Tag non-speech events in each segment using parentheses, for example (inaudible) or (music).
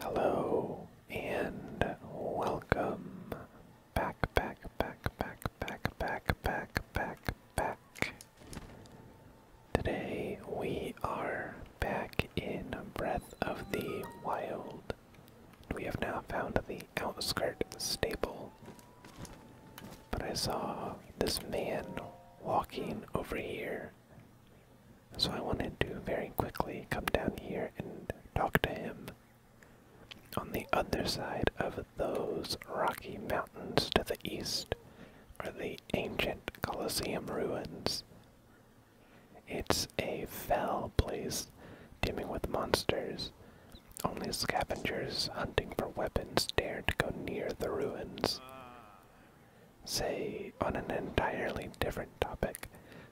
Hello and welcome back, back, back, back, back, back, back, back, back. Today we are back in Breath of the Wild. We have now found the outskirt stable. But I saw this man walking over here. So I wanted to very quickly come down here and talk to him on the other side of those rocky mountains to the east are the ancient Colosseum ruins. It's a fell place, teeming with monsters. Only scavengers hunting for weapons dare to go near the ruins. Say, on an entirely different topic,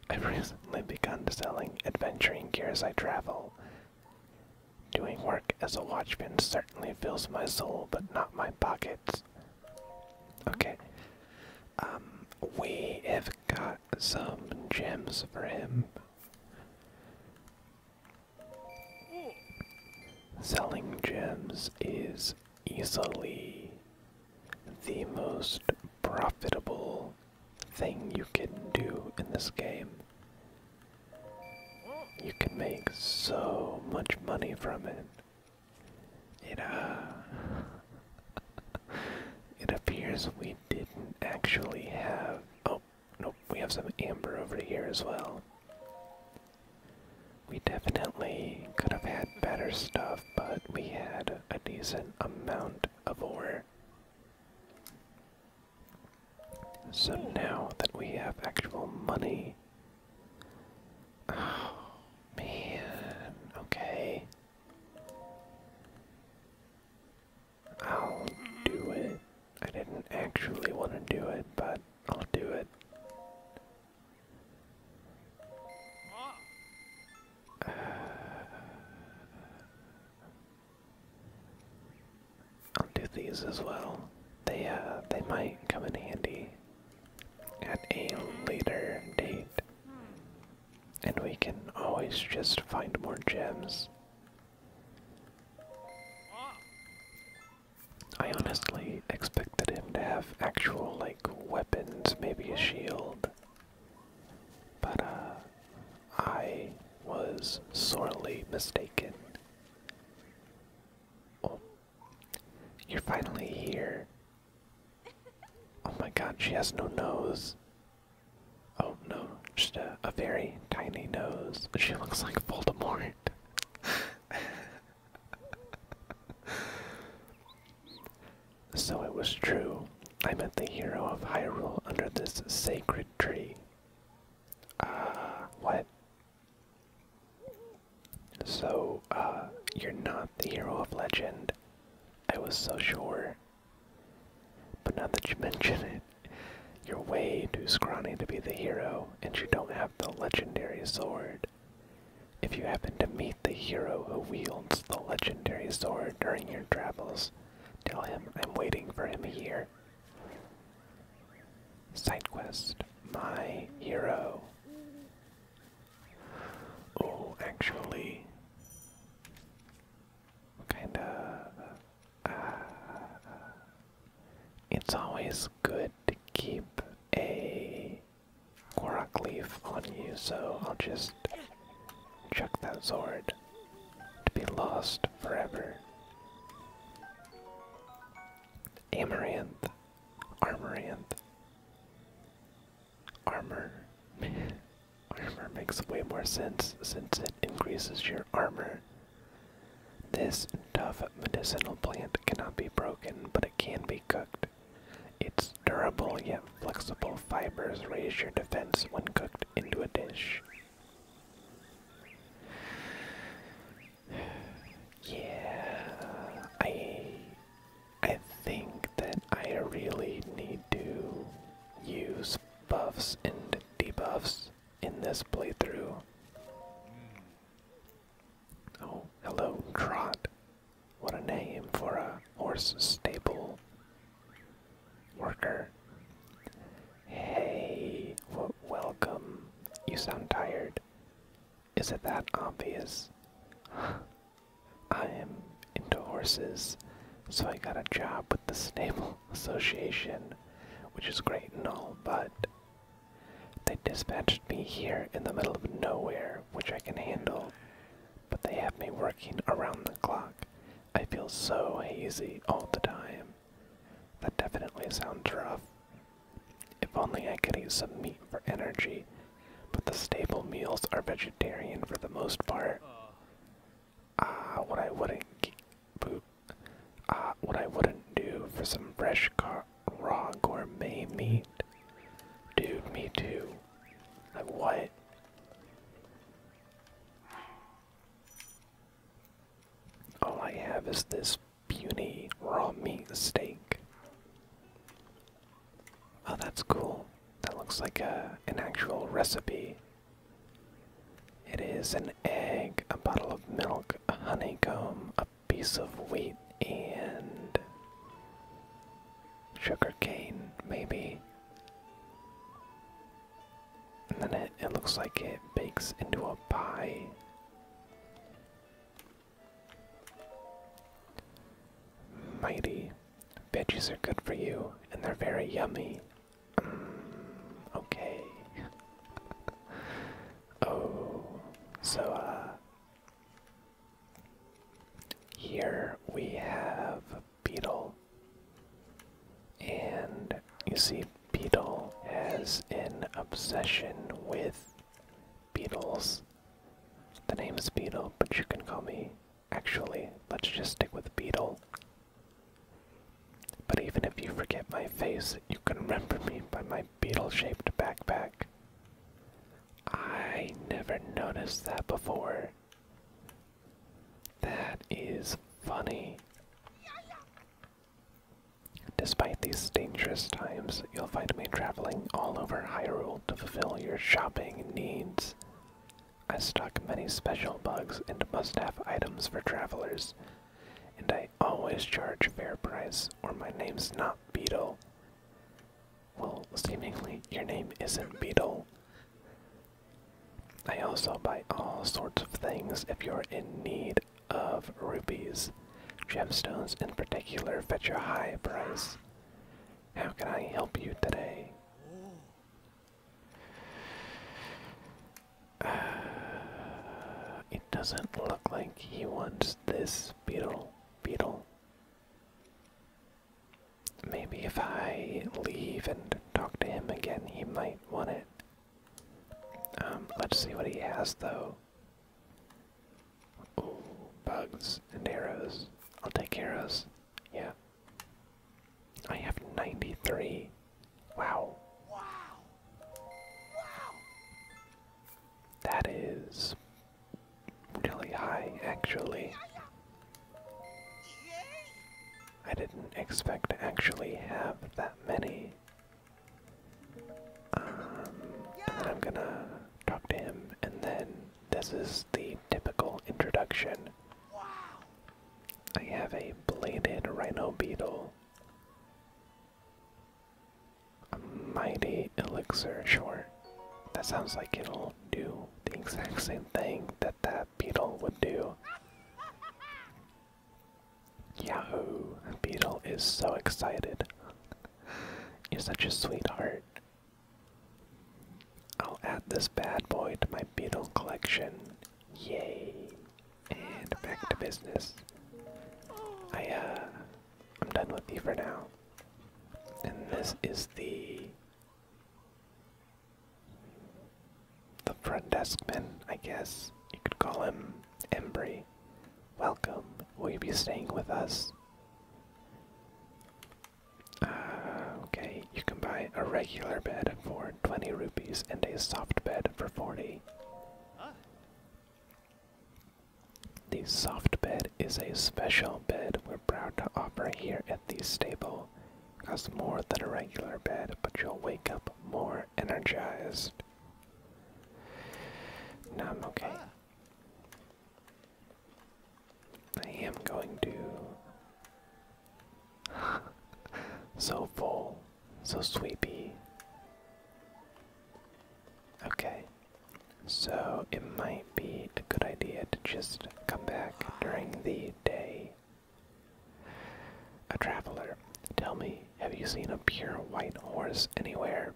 I've recently begun selling adventuring gear as I travel. Doing work as a watchman certainly fills my soul, but not my pockets. Okay. Um, we have got some gems for him. Selling gems is easily the most profitable thing you can do in this game. You can make so much money from it. It, uh, (laughs) it appears we didn't actually have, oh, no, we have some amber over here as well. We definitely could have had better stuff, but we had a decent amount of ore. So now that we have actual money. Oh, okay. I'll do it. I didn't actually want to do it, but I'll do it. Uh, I'll do these as well. They uh they might come in handy at a later date. And we can always just find more gems. I honestly expected him to have actual like weapons, maybe a shield, but uh, I was sorely mistaken. Oh, you're finally here. Oh my god, she has no nose. Oh no, just a very tiny nose. She looks like Voldemort. (laughs) so it was true. I met the hero of Hyrule under this sacred tree. Ah, what? So, uh, you're not the hero of legend. I was so sure. But now that you (laughs) mention it, you're way too scrawny to be the hero, and you don't have the legendary sword. If you happen to meet the hero who wields the legendary sword during your travels, Tell him I'm waiting for him here. Side quest, my hero. Oh, actually, kind of. Uh, uh, it's always good to keep a Korok leaf on you, so I'll just chuck that sword to be lost forever. Amaranth, Armoranth, Armor. (laughs) armor makes way more sense since it increases your armor. This tough medicinal plant cannot be broken, but it can be cooked. Its durable yet flexible fibers raise your defense when cooked into a dish. Yeah, I I think that I really need to use buffs and debuffs in this playthrough. Oh, hello, Trot. What a name for a horse stable. Worker. Hey, welcome. You sound tired. Is it that obvious? (sighs) I am into horses, so I got a job with the Stable (laughs) Association, which is great and all, but they dispatched me here in the middle of nowhere, which I can handle, but they have me working around the clock, I feel so hazy all the time. That definitely sounds rough. If only I could eat some meat for energy, but the staple meals are vegetarian for the most part. Ah, what I wouldn't poop. Ah, what I wouldn't do for some fresh raw gourmet meat. Dude, me too. Like what? All I have is this puny raw meat steak. Oh, that's cool. That looks like a, uh, an actual recipe. It is an egg, a bottle of milk, a honeycomb, a piece of wheat, and sugar cane, maybe. And then it, looks like it bakes into a pie. Mighty. Veggies are good for you, and they're very yummy. Mm, okay. (laughs) oh, so, uh. Here we have Beetle. And you see, Beetle has an obsession with beetles. The name is Beetle, but you can call me. Actually, let's just stick with Beetle. But even if you forget my face, you can remember me by my beetle shaped backpack. I never noticed that before. That is funny. Despite these dangerous times, you'll find me traveling all over Hyrule to fulfill your shopping needs. I stock many special bugs and must-have items for travelers, and I always charge fair price, or my name's not Beetle. Well, seemingly your name isn't Beetle. I also buy all sorts of things if you're in need of rupees. Gemstones in particular fetch a high price. How can I help you today? Uh, it doesn't look like he wants this beetle. Beetle. Maybe if I leave and talk to him again, he might want it. Um, let's see what he has though. Ooh, bugs and arrows. I'll take arrows. Yeah. I have 93. Wow. Wow. Wow. That is really high, actually. I didn't expect to actually have that many. Um, I'm gonna talk to him, and then this is the typical introduction. Wow. I have a bladed rhino beetle, a mighty elixir. Sure, that sounds like it'll do the exact same thing that that beetle would do. Yahoo! Beetle is so excited. You're such a sweetheart. I'll add this bad boy to my beetle collection. Yay! And back to business. I, uh, I'm done with you for now. And this is the the front desk man, I guess you could call him Embry. Welcome. Will you be staying with us? Uh, okay, you can buy a regular bed for 20 rupees and a soft bed for 40. The soft bed is a special bed we're proud to offer here at the stable. Costs more than a regular bed, but you'll wake up more energized. I'm okay. I am going to. (laughs) so full, so sleepy. Okay, so it might be a good idea to just come back during the day a traveler, tell me, have you seen a pure white horse anywhere?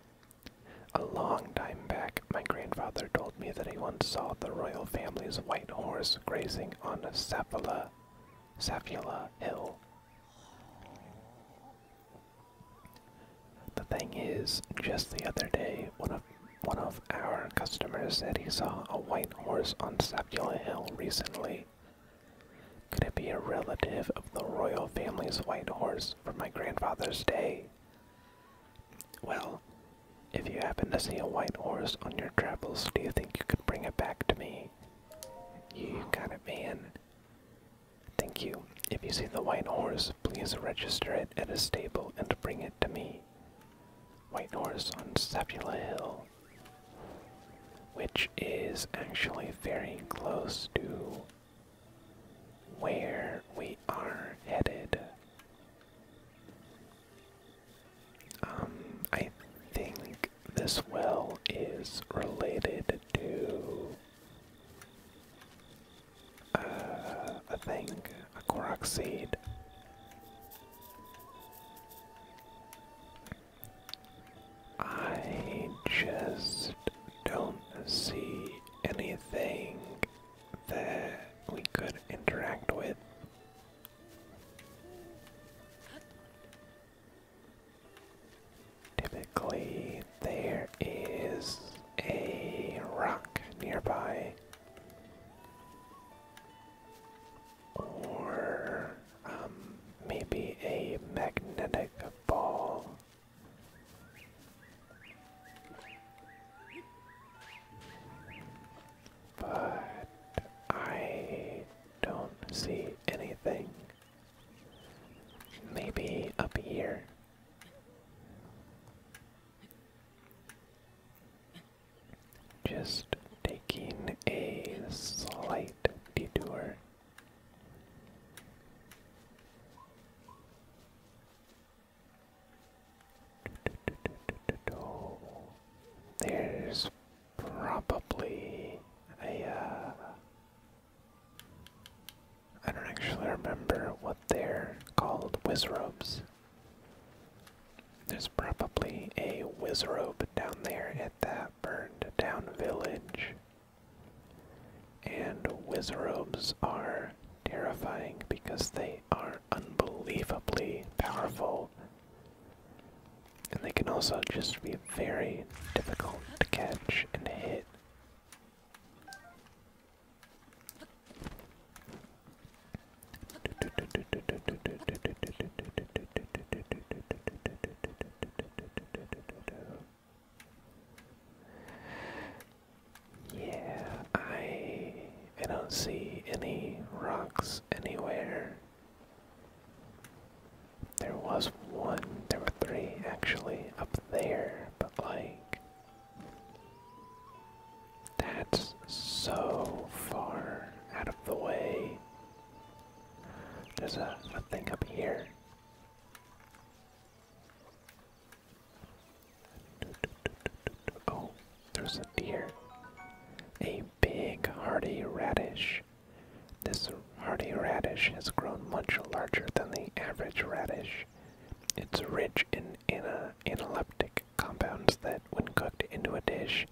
A long time back, my grandfather told me that he once saw the royal family's white horse grazing on a Saphala, hill. The thing is, just the other day, one of one of our customers said he saw a white horse on Sapula Hill recently, could it be a relative of the royal family's white horse from my grandfather's day? Well, if you happen to see a white horse on your travels, do you think you could bring it back to me? You kind of man. Thank you. If you see the white horse, please register it at a stable and bring it to me. White horse on Sapula Hill which is actually very close to where we are headed. Um, I think this well is related to uh, a thing, a quark seed. I just don't see anything that we could interact with. Typically, there is a rock nearby or um, maybe a magnetic ball. But I don't see anything. Maybe up here. Just taking a slight detour. There's probably a. Uh, don't actually remember what they're called, wizrobes. There's probably a wizrobe down there at that burned down village. And wizrobes are terrifying because they are unbelievably powerful. And they can also just be very difficult to catch and hit. Yeah, I I don't see any rocks anywhere. There was one, there were three actually up there, but like that's so far out of the way. There's a, thing up here. Oh, there's a deer. A big hardy radish. This hardy radish has grown much larger than the average radish. It's rich in ana analeptic compounds that, when cooked into a dish,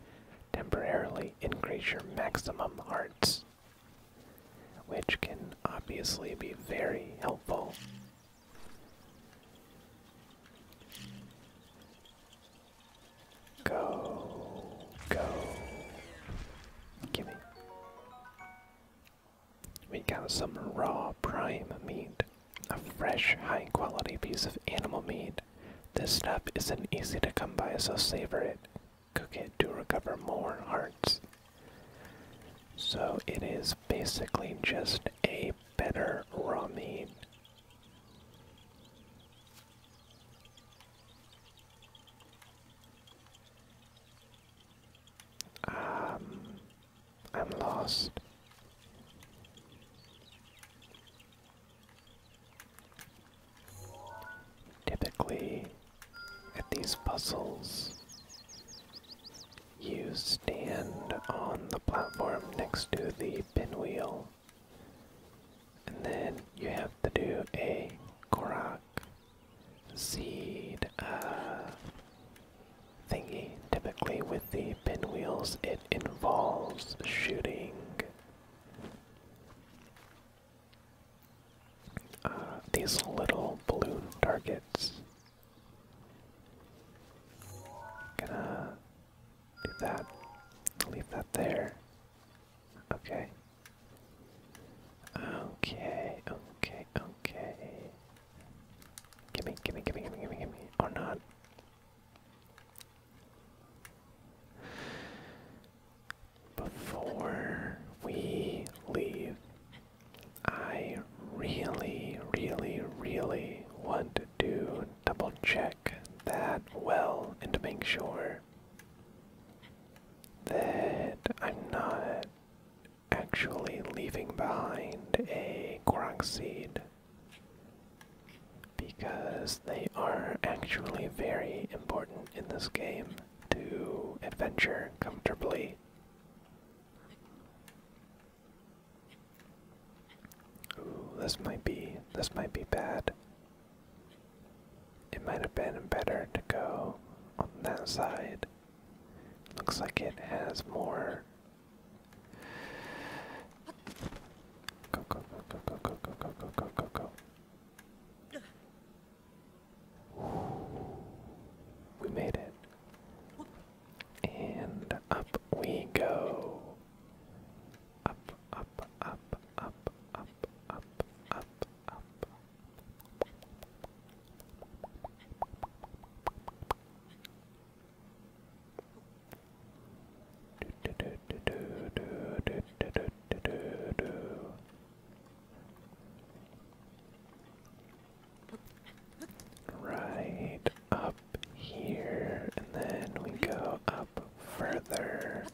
temporarily increase your maximum hearts which can obviously be very helpful. Go, go. Gimme. We got some raw prime meat. A fresh, high quality piece of animal meat. This stuff isn't easy to come by, so savor it cook it to recover more hearts. So it is basically just a better ramen. Um, I'm lost. Typically, at these puzzles, you stand on the platform next to the pinwheel, and then you have to do a korak seed uh, thingy. Typically, with the pinwheels, it involves shooting uh, these little balloon targets. Gonna do that. Leave that there. Okay. Okay, okay, okay. Gimme, gimme, gimme, gimme, gimme, gimme. Or oh, not. Before we leave, I really, really, really want to double check that well and make sure that I'm not actually leaving behind a Korok seed because they are actually very important in this game to adventure comfortably. this might be this might be bad. It might have been better to go on that side. Looks like it has more. go go go go go go go go go go go. We made it. And up we go. Up, up, up, up, up, up, up, up. Do, do, do, do, do, do, do, do, do, Right up here, and then we go up further.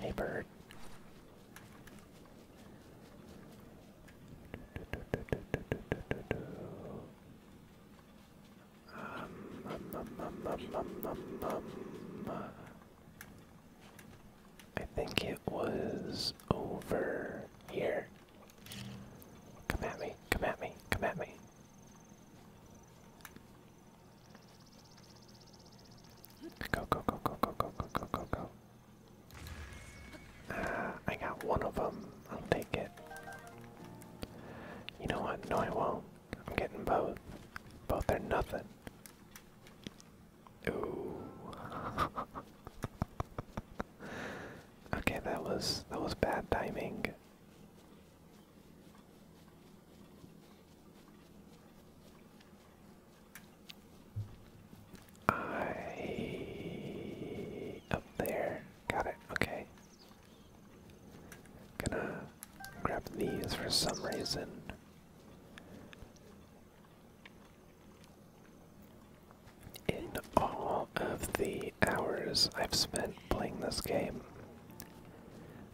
Hey, bird. I think it was over here. Come at me, come at me, come at me. Go, go, go, go, go, go, go, go, go, uh, I got one of them. I'll take it. You know what? No, I won't. I'm getting both. Both are nothing. Ooh. (laughs) okay, that was that was bad timing. I up there. Got it. Okay. Gonna grab these for some reason. In all of the hours I've spent playing this game,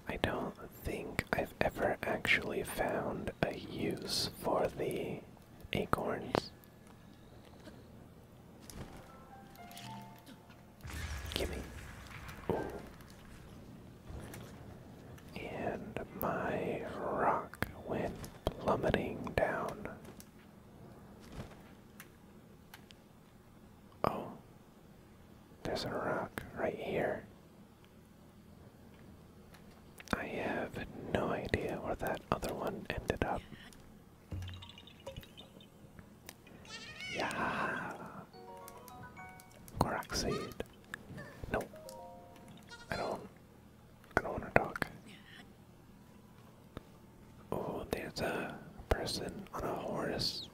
I don't think I've ever actually found a use for the acorns. Gimme and my rock went plummeting down. Oh, there's a rock right here. I have no idea where that other one ended up. Yeah. Korok No. I don't I don't wanna talk. Oh, there's a person on a horse.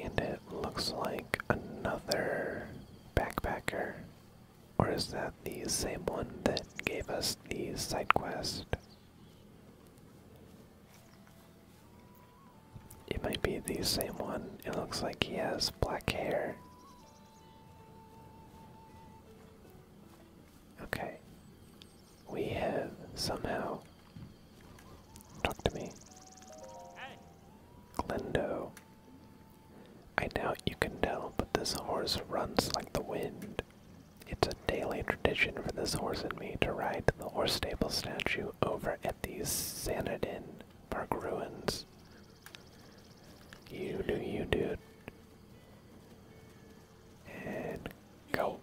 And it looks like another backpacker. Or is that the same one that gave us the side quest? It might be the same one. It looks like he has black hair. Okay. We have somehow. Talk to me. Glendo. I doubt you can tell, but this horse runs like the wind. It's a daily tradition for this horse and me to ride the horse stable statue over at the Sanadin Park ruins. You do you, do, And go.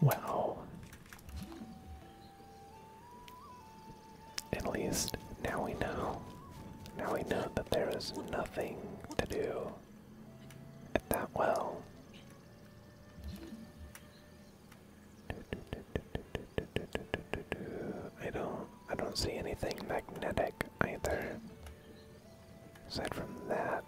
Wow. At least now we know. Now we know that there is nothing to do at that well. I don't I don't see anything magnetic either. Aside from that.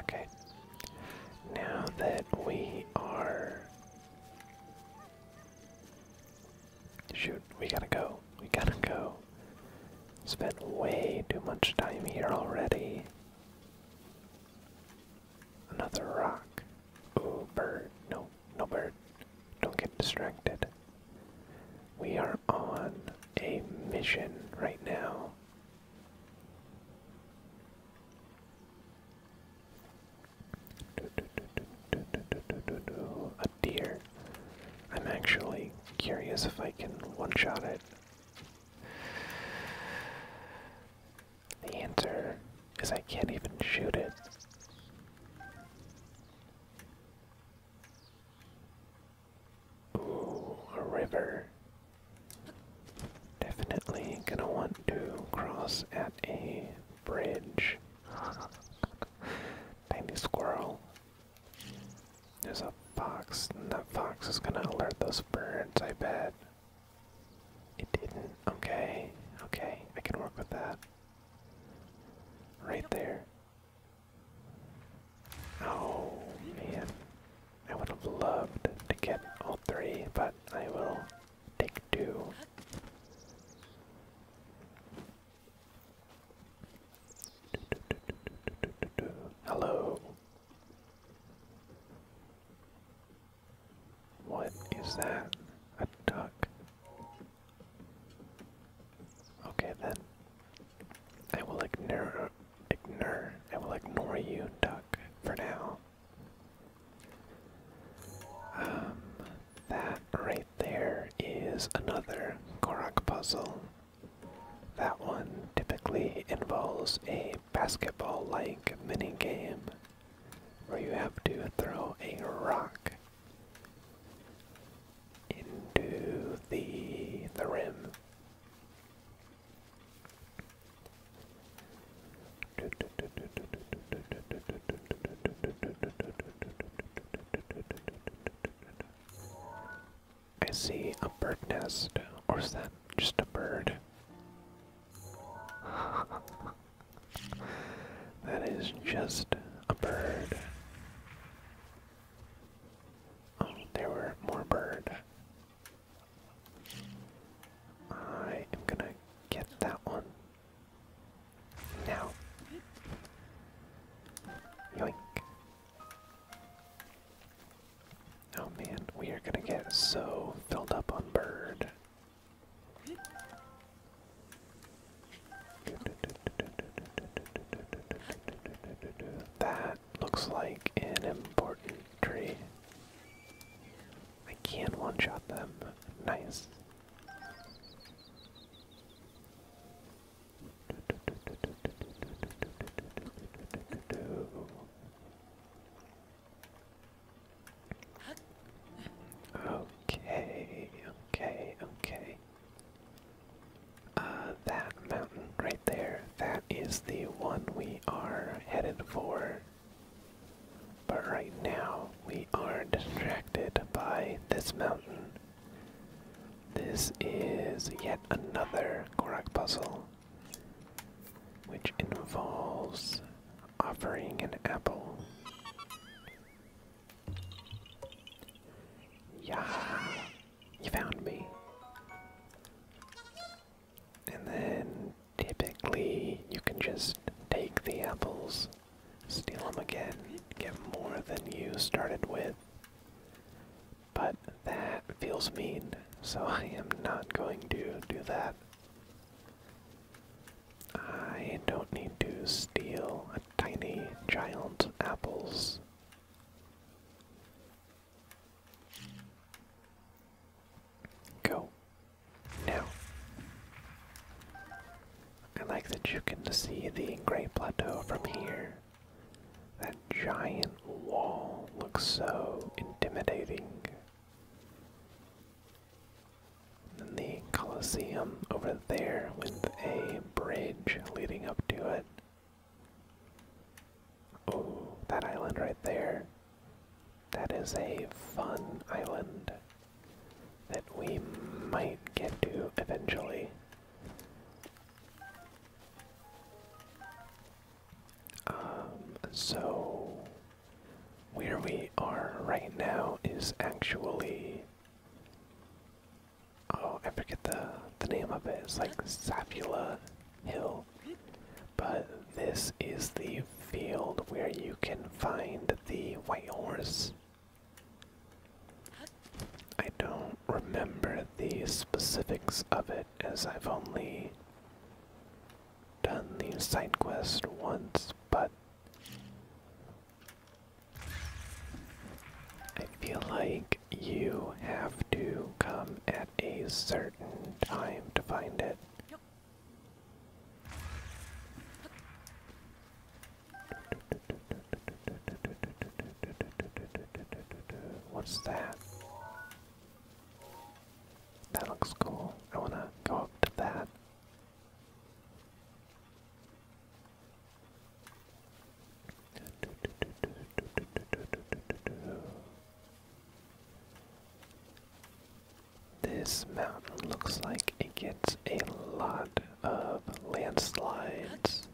Okay. Now that we are. Shoot, we gotta go. We gotta go. Spent way too much time here already. Another rock. Ooh, bird. No, no bird. Don't get distracted. We are on a mission right now. A deer. I'm actually curious if I can one-shot it. The answer is I can't even shoot it. Ooh, a river. Definitely gonna want to cross at a bridge. Tiny squirrel. There's a fox, and that fox is gonna alert those birds, I bet. It didn't. Okay, okay, I can work with that. Right there. Oh, man. I would have loved to get all three, but I will take two. Hello. What is that? A duck. Okay then. I will ignore ignore I will ignore you, duck, for now. Um, that right there is another Korok puzzle. That one typically involves a basketball like mini-game, where you have to throw a rock into the the rim. I see a bird nest, or is that just a bird? (laughs) that is just a bird. Oh, there were more bird. I am gonna get that one now. Yoink. Oh man, we are gonna get so filled up on bird. That looks like an important tree. I can one-shot them. Nice. Okay, okay, okay. Uh, that mountain right there, that is the one we are headed for. But right now, we are distracted by this mountain. This is yet another Korak puzzle, which involves offering an apple. Yeah, you found me. And then typically you can just take the apples, steal them again, get more than you started with. But that feels mean, so (laughs) I am not going to do that. I don't need to steal a tiny giant apples. Go. No. I like that you can see the Great Plateau from here. That giant wall looks so intimidating. And the Colosseum over there with a bridge leading up to it. Oh, that island right there. That is a fun island that we might get to eventually. Um, so where we are right now is actually oh, I forget the the name of it. It's like Sapula Hill. But this is the field where you can find the white horse. I don't remember the specifics of it as I've only done the side quest once, but I feel like you have to come at a certain time to find it. What's that? That looks cool. I want to go up to that. This mountain looks like it gets a lot of landslides.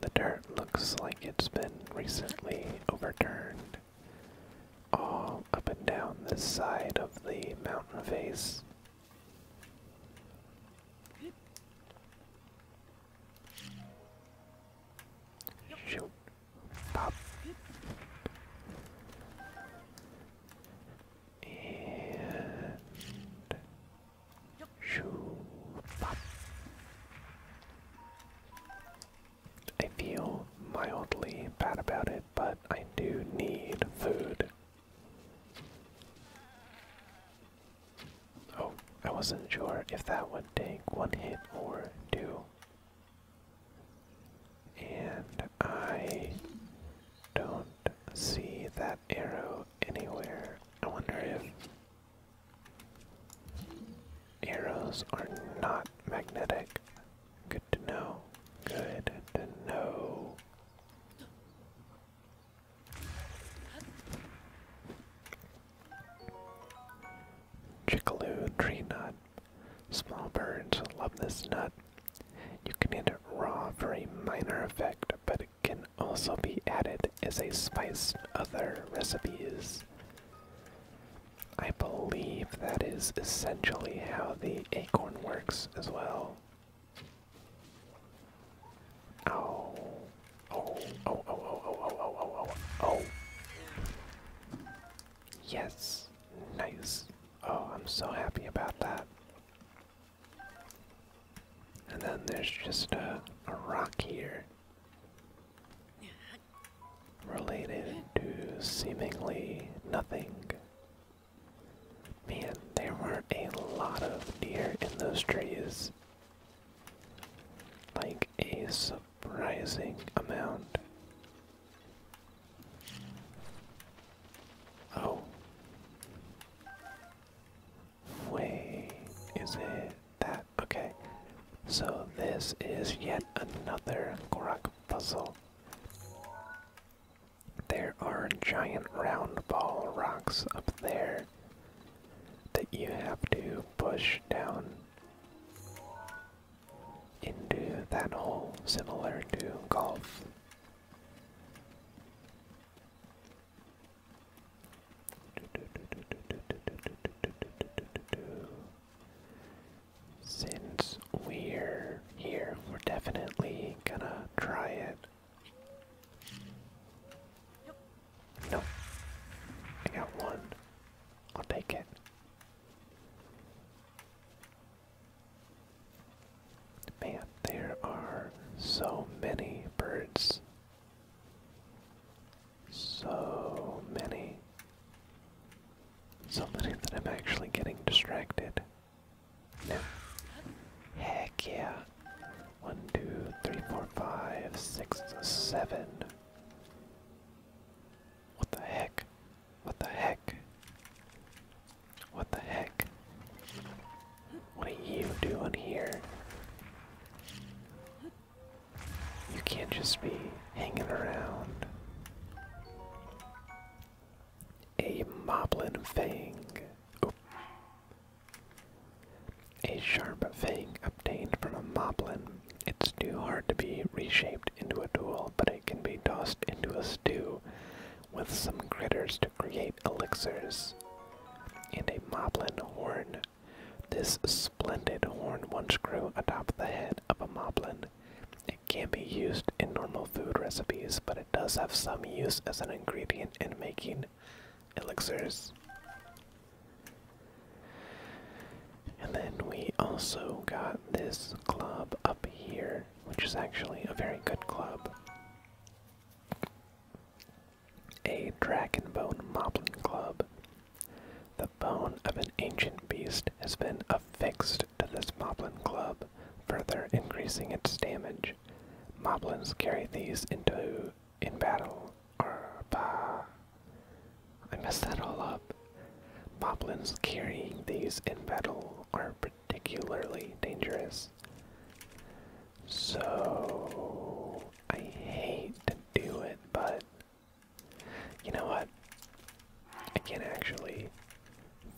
The dirt looks like it's been recently overturned. All up and down this side of the mountain face. Shoot, Pop. And shoo, pop. I feel mildly bad about it, but I do need food. Oh, I wasn't sure if that would take one hit or two. And I don't see that arrow anywhere. I wonder if arrows are not magnetic. Good to know. Good to know. Chickaloo tree nut. Small birds love this nut. You can eat it raw for a minor effect, but it can also be added as a spice in other recipes. I believe that is essentially how the acorn works as well. Oh, oh, oh, oh, oh, oh, oh, oh, oh, oh, Yes, nice. Oh, I'm so happy about that. And then there's just a, rock here. Related to seemingly nothing. Man, there were a lot of deer in those trees. Like a surprising amount. Oh. Wait, is it that? Okay. So this is yet another Gorak puzzle. There are giant round ball rocks up there that you have to push down into that hole, similar to golf. Since we're here, we're definitely gonna try it. Nope. I got one. I'll take it. Man, there are so many birds. So many. So many that I'm actually getting distracted. No. Heck yeah. One, two, three, four, five, six, seven. What the heck? What the heck? What the heck? What are you doing here? You can't just be hanging around. A moblin fang. A sharp fang obtained from a moblin. It's too hard to be reshaped into a tool, but it can be tossed into a stew with some critters to create elixirs, and a moblin horn. This splendid horn once grew atop the head of a moblin. It can be used in normal food recipes, but it does have some use as an ingredient in making elixirs. And then we also got this club up here which is actually a very good club. A Dragonbone Moblin Club. The bone of an ancient beast has been affixed to this Moblin Club, further increasing its damage. Moblins carry these into in battle. Arba. I messed that all up. Moblins carrying these in battle are particularly dangerous. So I hate to do it, but you know what? I can't actually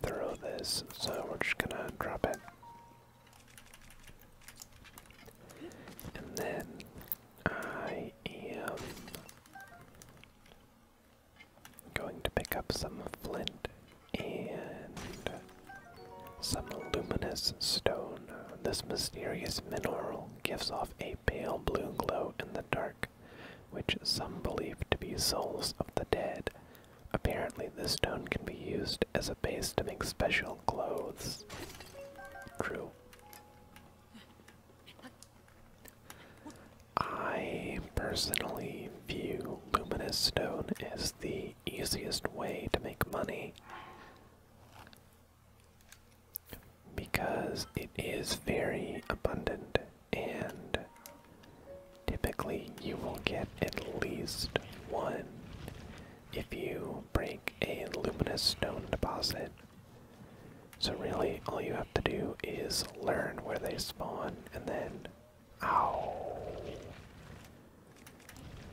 throw this, so we're just gonna drop it. And then I am Going to pick up some flint and some luminous stone. This mysterious mineral gives off a pale blue glow in the dark, which some believe to be souls of the dead. Apparently, this stone can be used as a base to make special clothes. True. I personally view Luminous Stone as the easiest way to make money because it is very abundant and typically you will get at least one if you break a luminous stone deposit. So really all you have to do is learn where they spawn and then Ow.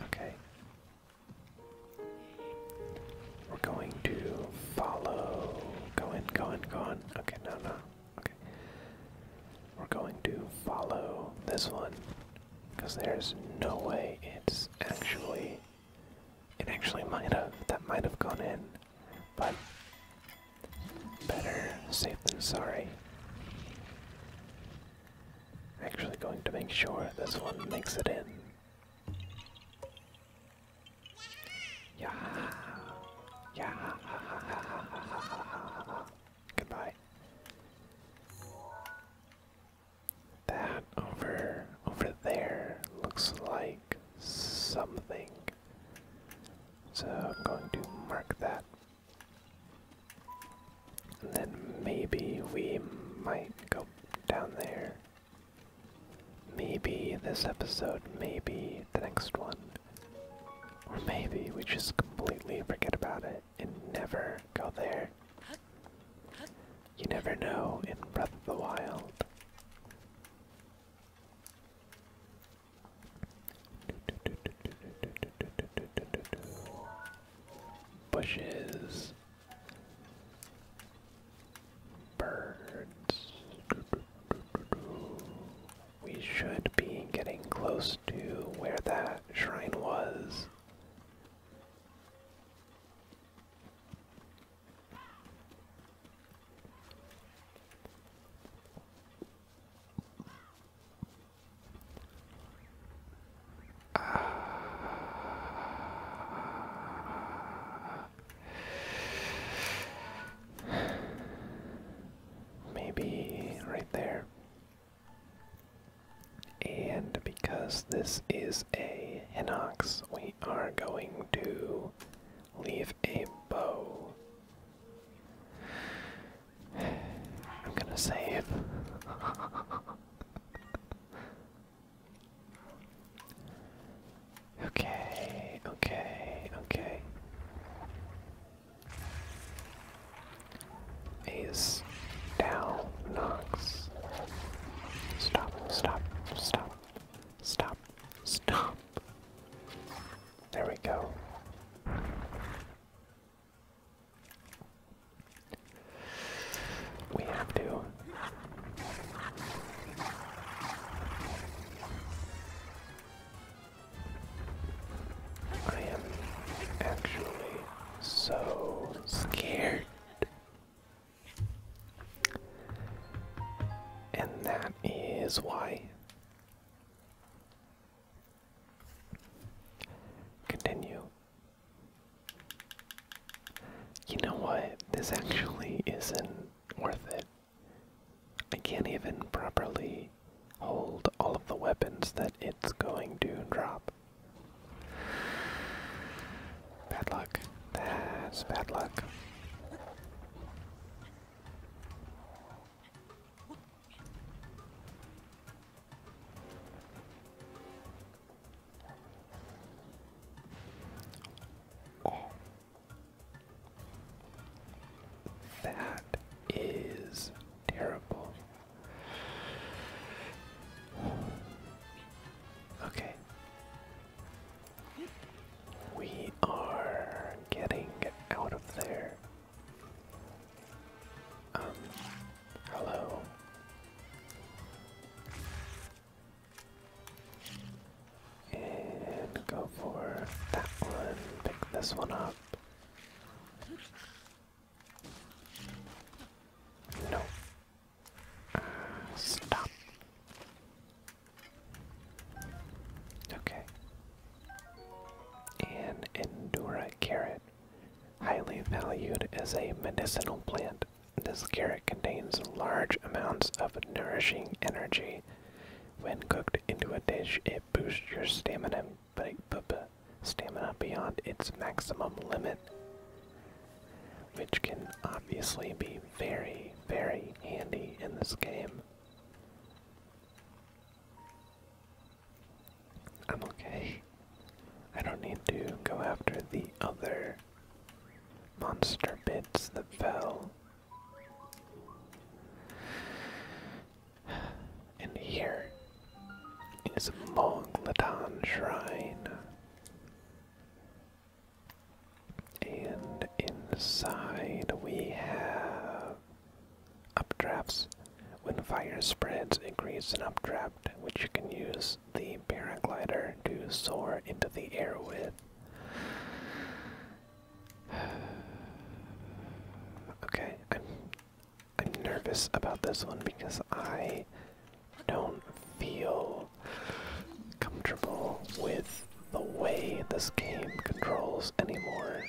Okay. We're going to follow. Go in, go in, go in. Okay, no, no. Okay. We're going to follow this one. Because there's no way it's actually. It actually might have. That might have gone in. But Better safe than sorry. Actually, going to make sure this one makes it in. Yeah, yeah. Goodbye. That over over there looks like something. So I'm going to mark that and then maybe we might go down there. Maybe this episode, maybe the next one. Or maybe we just completely forget about it and never go there. You never know in Breath of the Wild. Bushes, birds. We should be getting close to where that shrine was. (sighs) maybe right there. And because this is a Hinox, we are going to leave a bow. I'm gonna save. okay, okay, okay. Ace down, Knox. Stop, stop, stop, stop, stop. There we go. We have to. I am actually so scared. And that is why Continue. You know what? This actually isn't worth it. I can't even properly hold all of the weapons that it's going to drop. Bad luck. That's bad luck. That is terrible. Okay. We are getting out of there. Um, hello. And go for that one. Pick this one up. No. Uh, stop. Okay. An Endura carrot, highly valued as a medicinal plant. This carrot contains large amounts of nourishing energy. When cooked into a dish, it boosts your stamina, stamina beyond its maximum limit, which can obviously be very, very handy in this game. I'm okay. I don't need to go after the other monster bits that fell. And here is a Moglodon Shrine. And inside we have updrafts. When fire spreads, it creates an updraft, which you can use the paraglider to soar into the air with. (sighs) Okay, I'm I'm nervous about this one because I don't feel comfortable with the way this game controls anymore.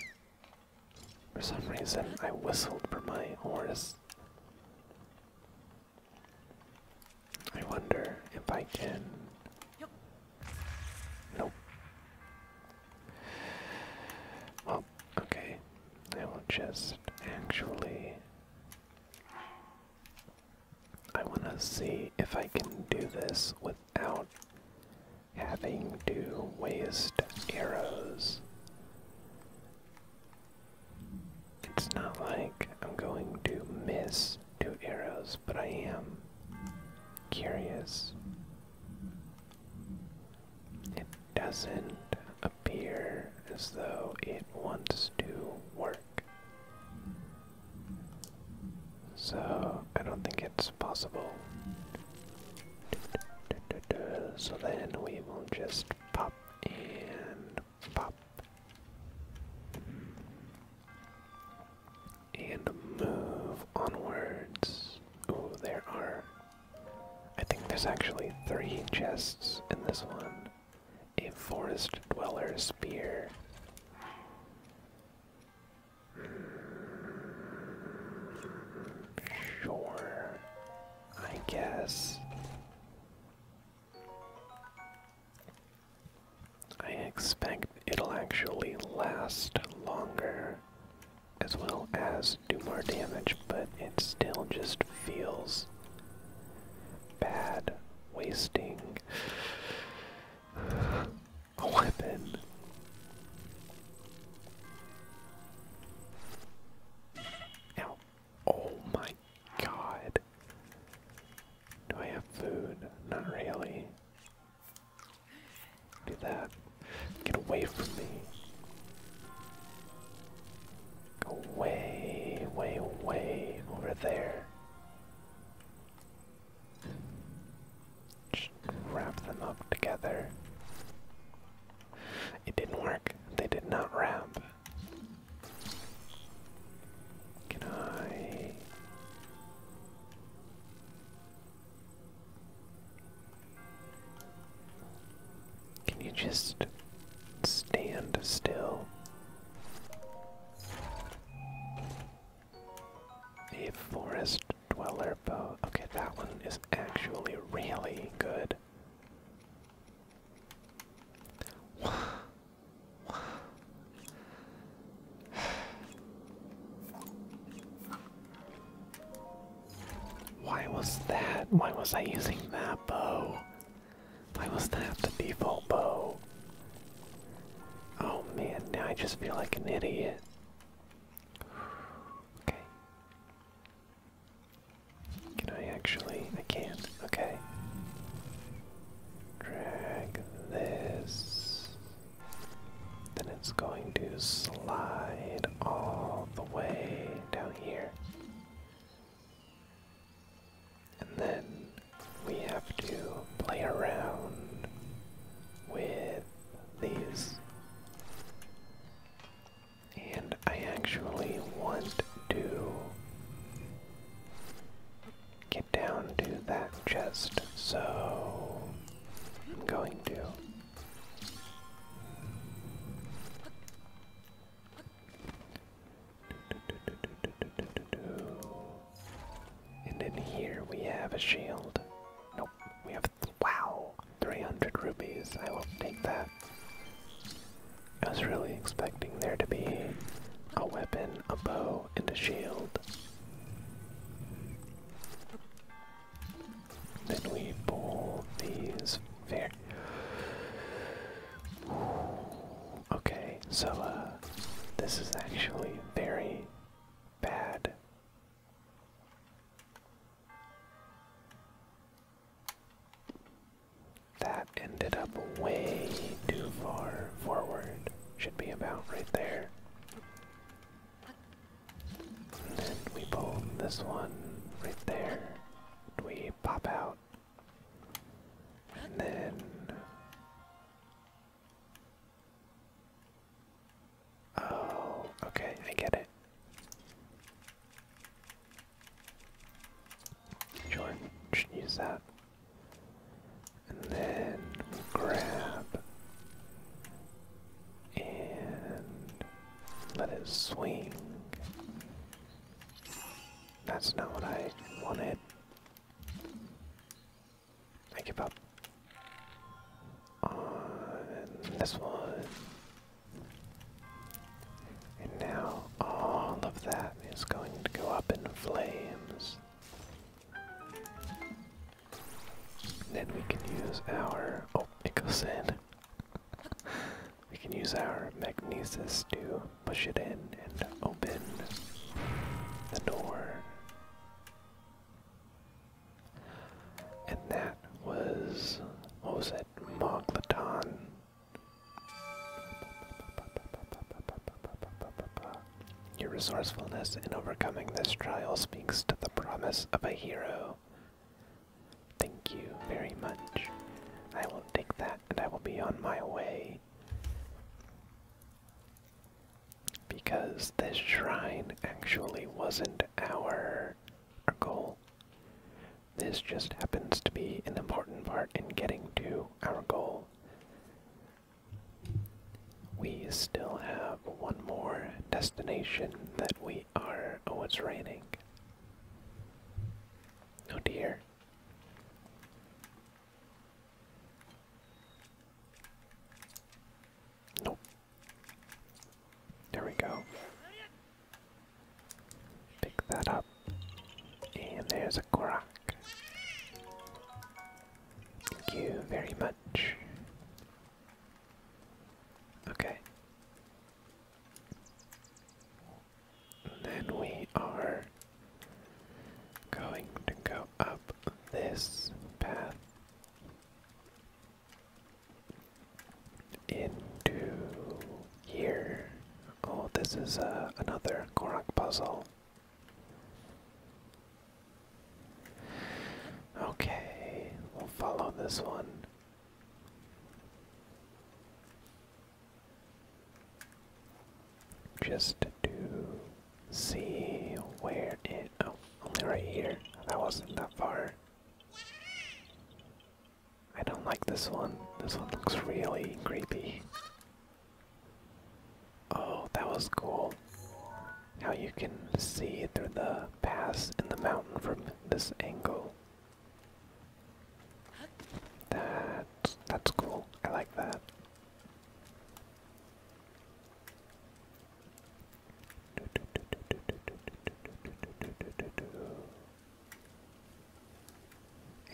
For some reason, I whistled for my horse. I wonder if I can. Nope. Well, okay. I will just actually. I want to see if I can do this without having to waste arrows. It's not like I'm going to miss two arrows, but I am curious. It doesn't appear as though it wants to work. So I don't think it's possible. So then we will just pop and pop. And move onwards. Oh, there are. I think there's actually three chests in this one a forest dweller spear. Sure, I guess. I expect it'll actually last longer as well as do more damage, but it still just feels bad wasting a weapon. Ow. Oh my god. Do I have food? Not really. Do that. Get away from me. Go way, way, way over there. wrap them up together. It didn't work. They did not wrap. Can I? Can you just stand still? A forest dweller Okay, that one is actually really good. Why was that? Why was I using that bow? Why was that the default bow? Oh man, now I just feel like an idiot. Okay. Can I actually? I can. not Okay. Drag this. Then it's going to slide all the way down here. And then we have to play around with these. And I actually want to get down to that chest, so I'm going to. And then here we have a shield. Nope, we wow, 300 rupees. I will take that. I was really expecting there to be a weapon, a bow, and a shield. Then we pull these fair. Okay, so uh, this is actually very bad. That ended up way too far forward. Should be about right there. then we pull this one right there. we pop out. And then. Oh, okay, I get it. Jordan should use that. And then grab and let it swing. That's not what I wanted. I give up on this one. And now all of that is going to go up in flames. Then we can use our. Oh, it goes (laughs) we can use our magnesis to push it in and open the door. And that was what was it? Moglaton. Your resourcefulness in overcoming this trial speaks to the promise of a hero. Thank you very much. I will take that and I will be on my way. Because this shrine actually wasn't our goal. This just happens to be an important part in getting to our goal. We still have one more destination that we are. Oh, it's raining. Oh dear. Nope. There we go. Pick that up. And there's a Korok. Thank you very much. Okay. then we are going to go up this path into here. Oh, this is uh, another Korok puzzle. Okay, we'll follow this one. Just to see where it. Oh, only right here. That wasn't that far. I don't like this one. This one looks really creepy. Oh, that was cool. How you can see through the pass in the mountain from this angle. That that's cool. I like that.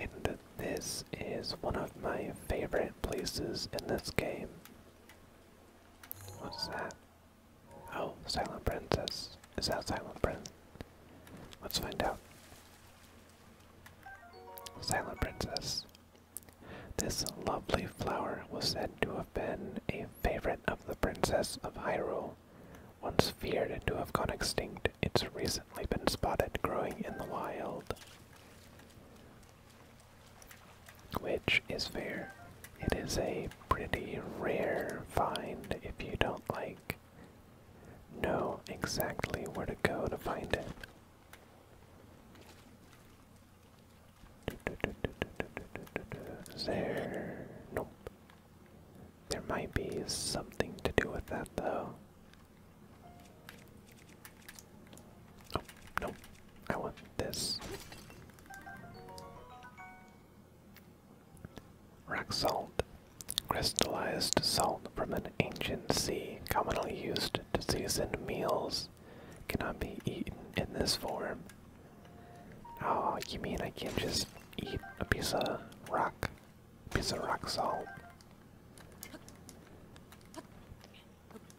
And this is one of my favorite places in this game. What's that? Oh, Silent Princess. Is that Silent Prince? Let's find out. Silent Princess. This lovely flower was said to have been a favorite of the Princess of Hyrule. Once feared to have gone extinct, it's recently been spotted growing in the wild. Which is fair. It is a pretty rare find if you don't like know exactly where to go to find it. there? Nope. There might be something to do with that, though. Oh, no. I want this. Rock salt. Crystallized salt from an ancient sea, commonly used to season meals, cannot be eaten in this form. Oh, you mean I can't just eat a piece of rock? piece of rock salt.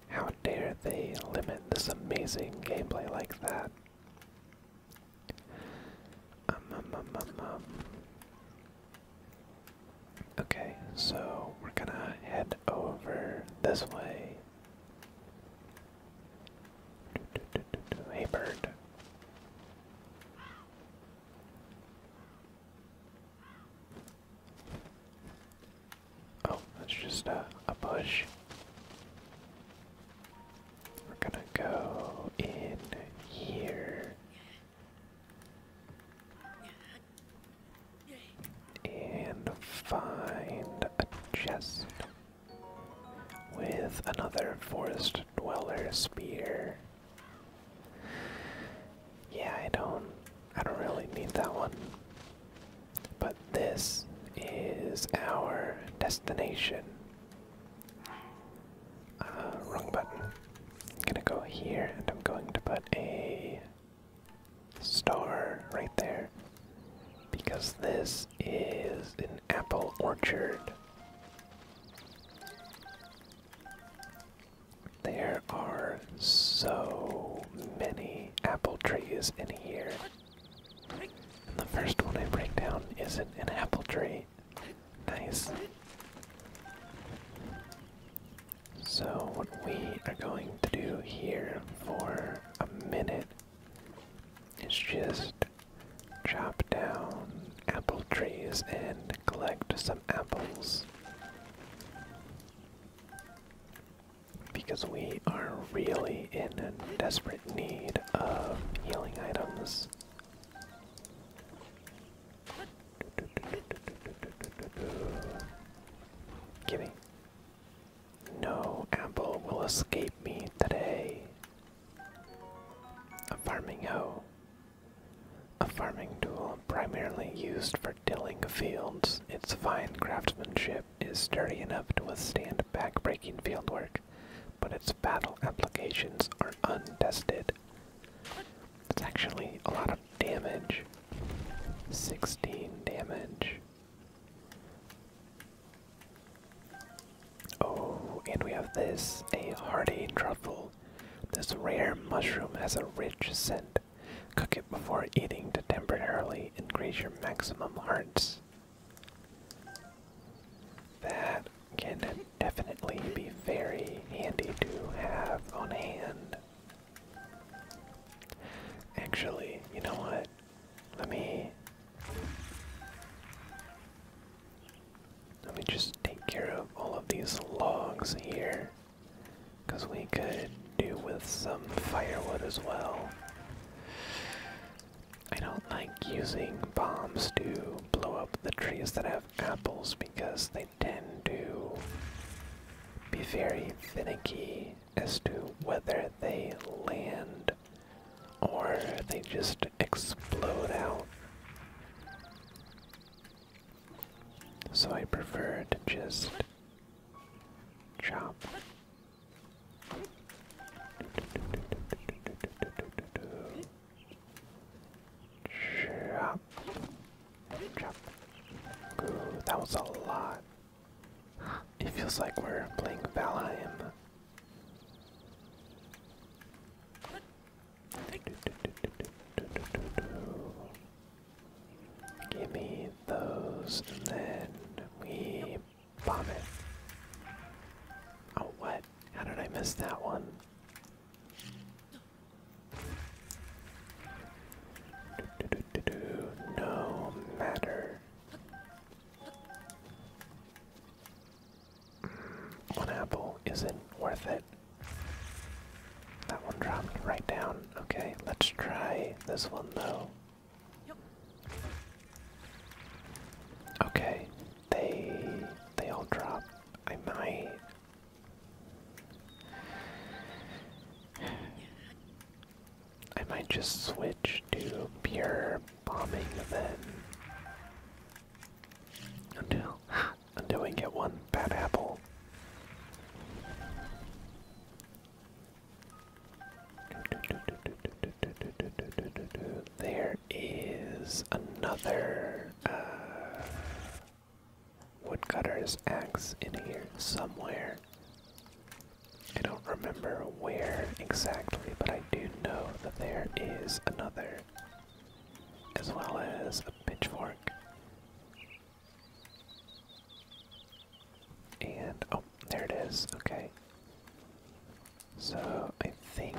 How dare they limit this amazing gameplay like that? Um, um, um, okay, so we're gonna head over this way. Hey, bird. Oh, that's just a, bush. We're gonna go in here. And find a chest with another forest dweller spear. Yeah, I don't I don't really need that one. But this is our destination. Uh, wrong button. I'm gonna go here and I'm going to put a star right there. Because this is an apple orchard. There are so many apple trees in here. And the first one I break down isn't an apple tree. Nice. So, what we are going to do here for a minute is just Chop down apple trees and collect some apples. Because we are really in desperate need of healing items. Gimme. No apple will escape me today. A farming hoe. A farming tool primarily used for tilling fields, its fine craftsmanship is sturdy enough to withstand back-breaking work, but its battle applications are untested. It's actually a lot of damage. 16 damage. Oh, and we have this a hearty truffle. This rare mushroom has a rich scent. Cook it before eating to temporarily increase your maximum hearts. That can definitely be very handy to have on hand. Actually, you know what? Let me. Let me just take care of all of these logs here. Because we could do with some firewood as well. I don't like using bombs to blow up the trees that have apples because they tend to be very finicky as to whether they land or they just explode out. So I prefer to just chop. Chop. Ooh, that was a lot. It feels like we're playing Valheim. Give me those, and then we bomb it. Oh, what? How did I miss that one? No matter. One apple isn't worth it. That one dropped right down. Okay, let's try this one though. Okay, they they all drop. I might. I might just switch to pure bombing then. Until until we get one bad apple. There is another uh, woodcutter's axe in here somewhere. I don't remember where exactly, but I do know that there is another as well as a pitchfork. And oh, there it is. Okay. So I think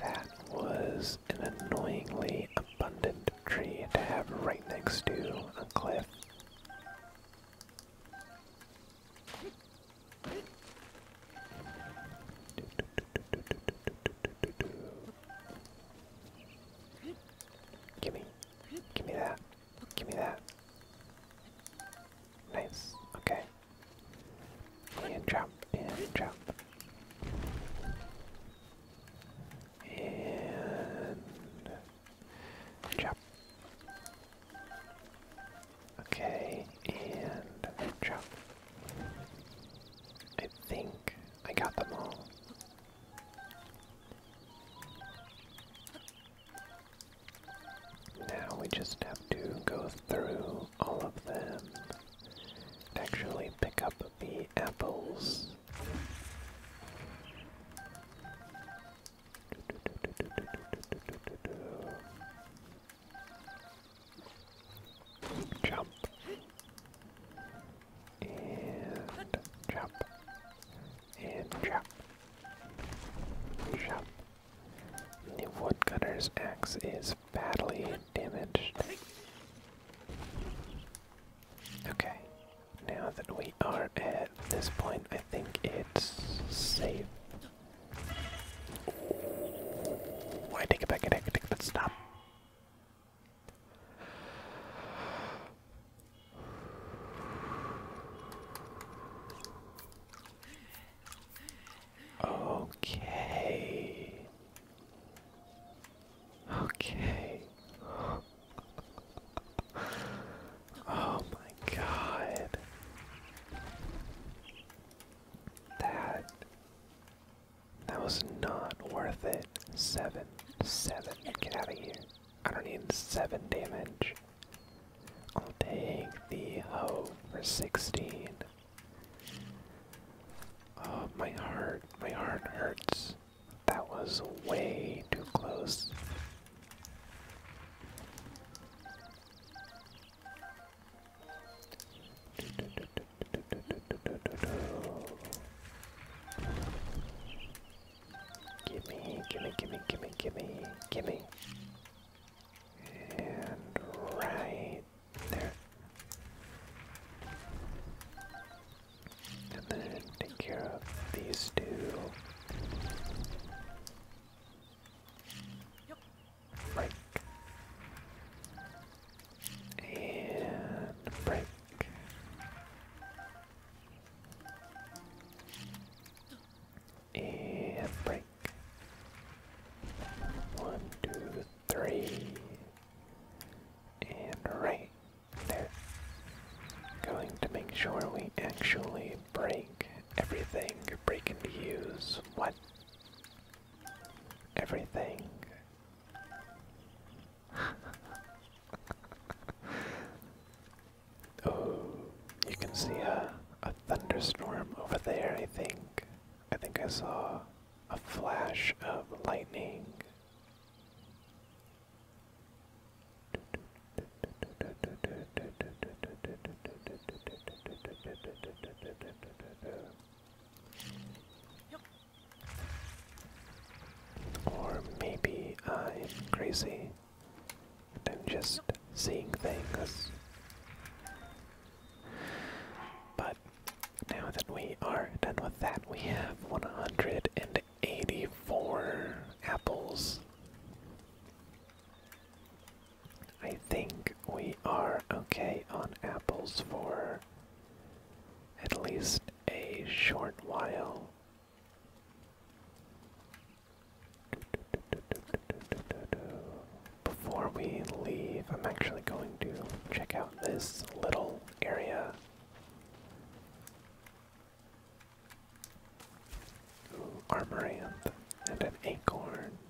that was an annoyingly abundant tree to have right next to a cliff. Gimme. Gimme that. Gimme that. Nice. Okay. And jump. And jump. And jump. Okay, and chop. I think I got them all. Now we just have to go through all of them and actually pick up the apples. Jump. And jump. And jump. Jump. The woodcutter's axe is badly damaged. Okay, now that we are at this point, I think it's safe I take it back, I take it back, let stop. Okay. Okay. oh my god. That that was not worth it. Seven, seven. Get out of here. I don't need seven damage. I'll take the hoe for sixteen. Oh, my heart, my heart hurts. That was way too close. Gimme, gimme, gimme, gimme, gimme, gimme. And right there. And then take care of these two break. And break. And break. One, two, three. And right there. Going to make sure we actually break Everything breaking into use. What? Everything. (laughs) oh, you can see a thunderstorm over there, I think. I think I saw a flash of lightning. Or maybe I'm crazy and just seeing things. But now that we are done with that, we have 184 apples. I think we are okay on apples for at least a short while. Before we leave, I'm actually going to check out this little area. Armoranth and an acorn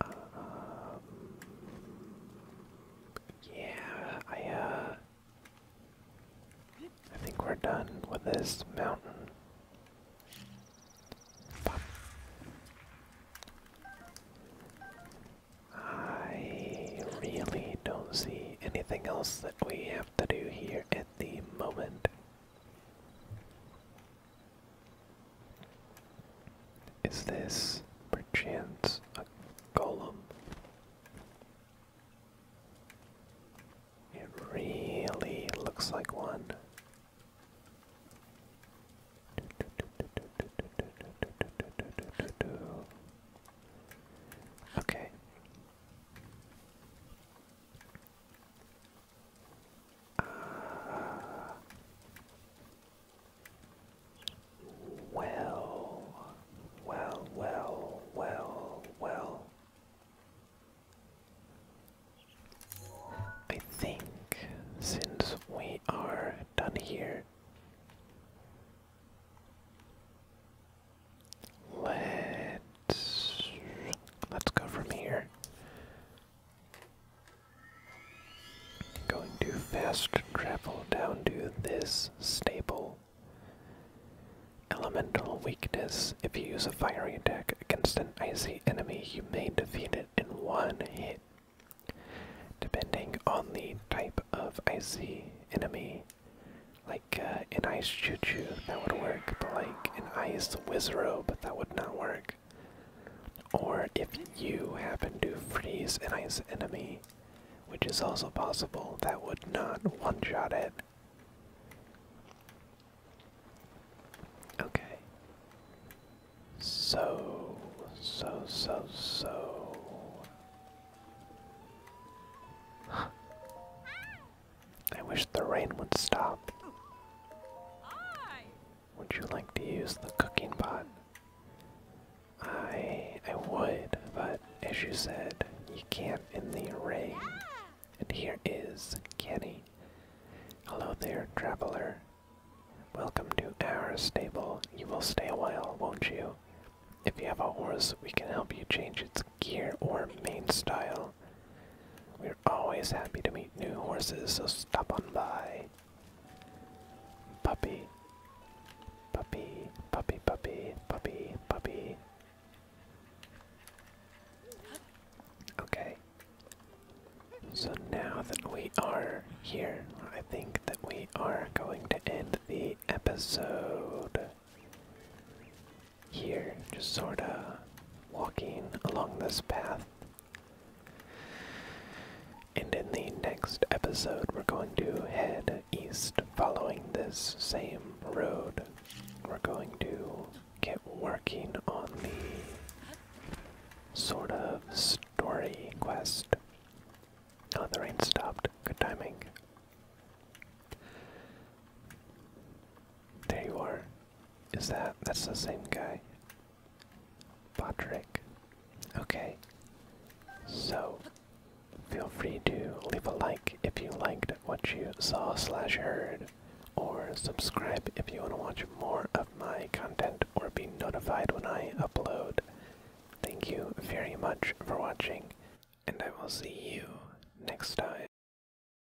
Um, yeah, I uh I think we're done with this mountain. I really don't see anything else that we have to do here at the moment. Is this perchance a golem? It really looks like one. Okay well, well, well, well, well. I think since we are done here, Let's let's go from here. Going to fast travel down to this stable. Elemental weakness. If you use a fiery attack against an icy enemy, you may defeat it in one hit. Depending on the type of icy enemy, like uh, an ice choo choo, that would work but like, an ice use but that would not work. Or if you happen to freeze an ice enemy, which is also possible, that would not one-shot it. Okay. So, so, so, so. I wish the rain would stop. Would you like to use the cooking pot? I I would, but as you said, you can't in the rain. And here is Kenny. Hello there, traveler. Welcome to our stable. You will stay a while, won't you? If you have a horse, we can help you change its gear or mane style. We always happy to meet new horses, so stop on by. Puppy. Puppy, puppy, puppy, puppy, puppy. Okay. So now that we are here, I think that we are going to end the episode here, just sort of walking along this path. And in the next episode, we're going to head east following this same road. We're going to get working on the sort of story quest. Now the rain stopped. Good timing. There you are. Is that that's the same guy? Patrick. Okay. So feel free to leave a like if you liked what you saw slash heard or subscribe if you want to watch more of my content or be notified when I upload. Thank you very much for watching and I will see you next time.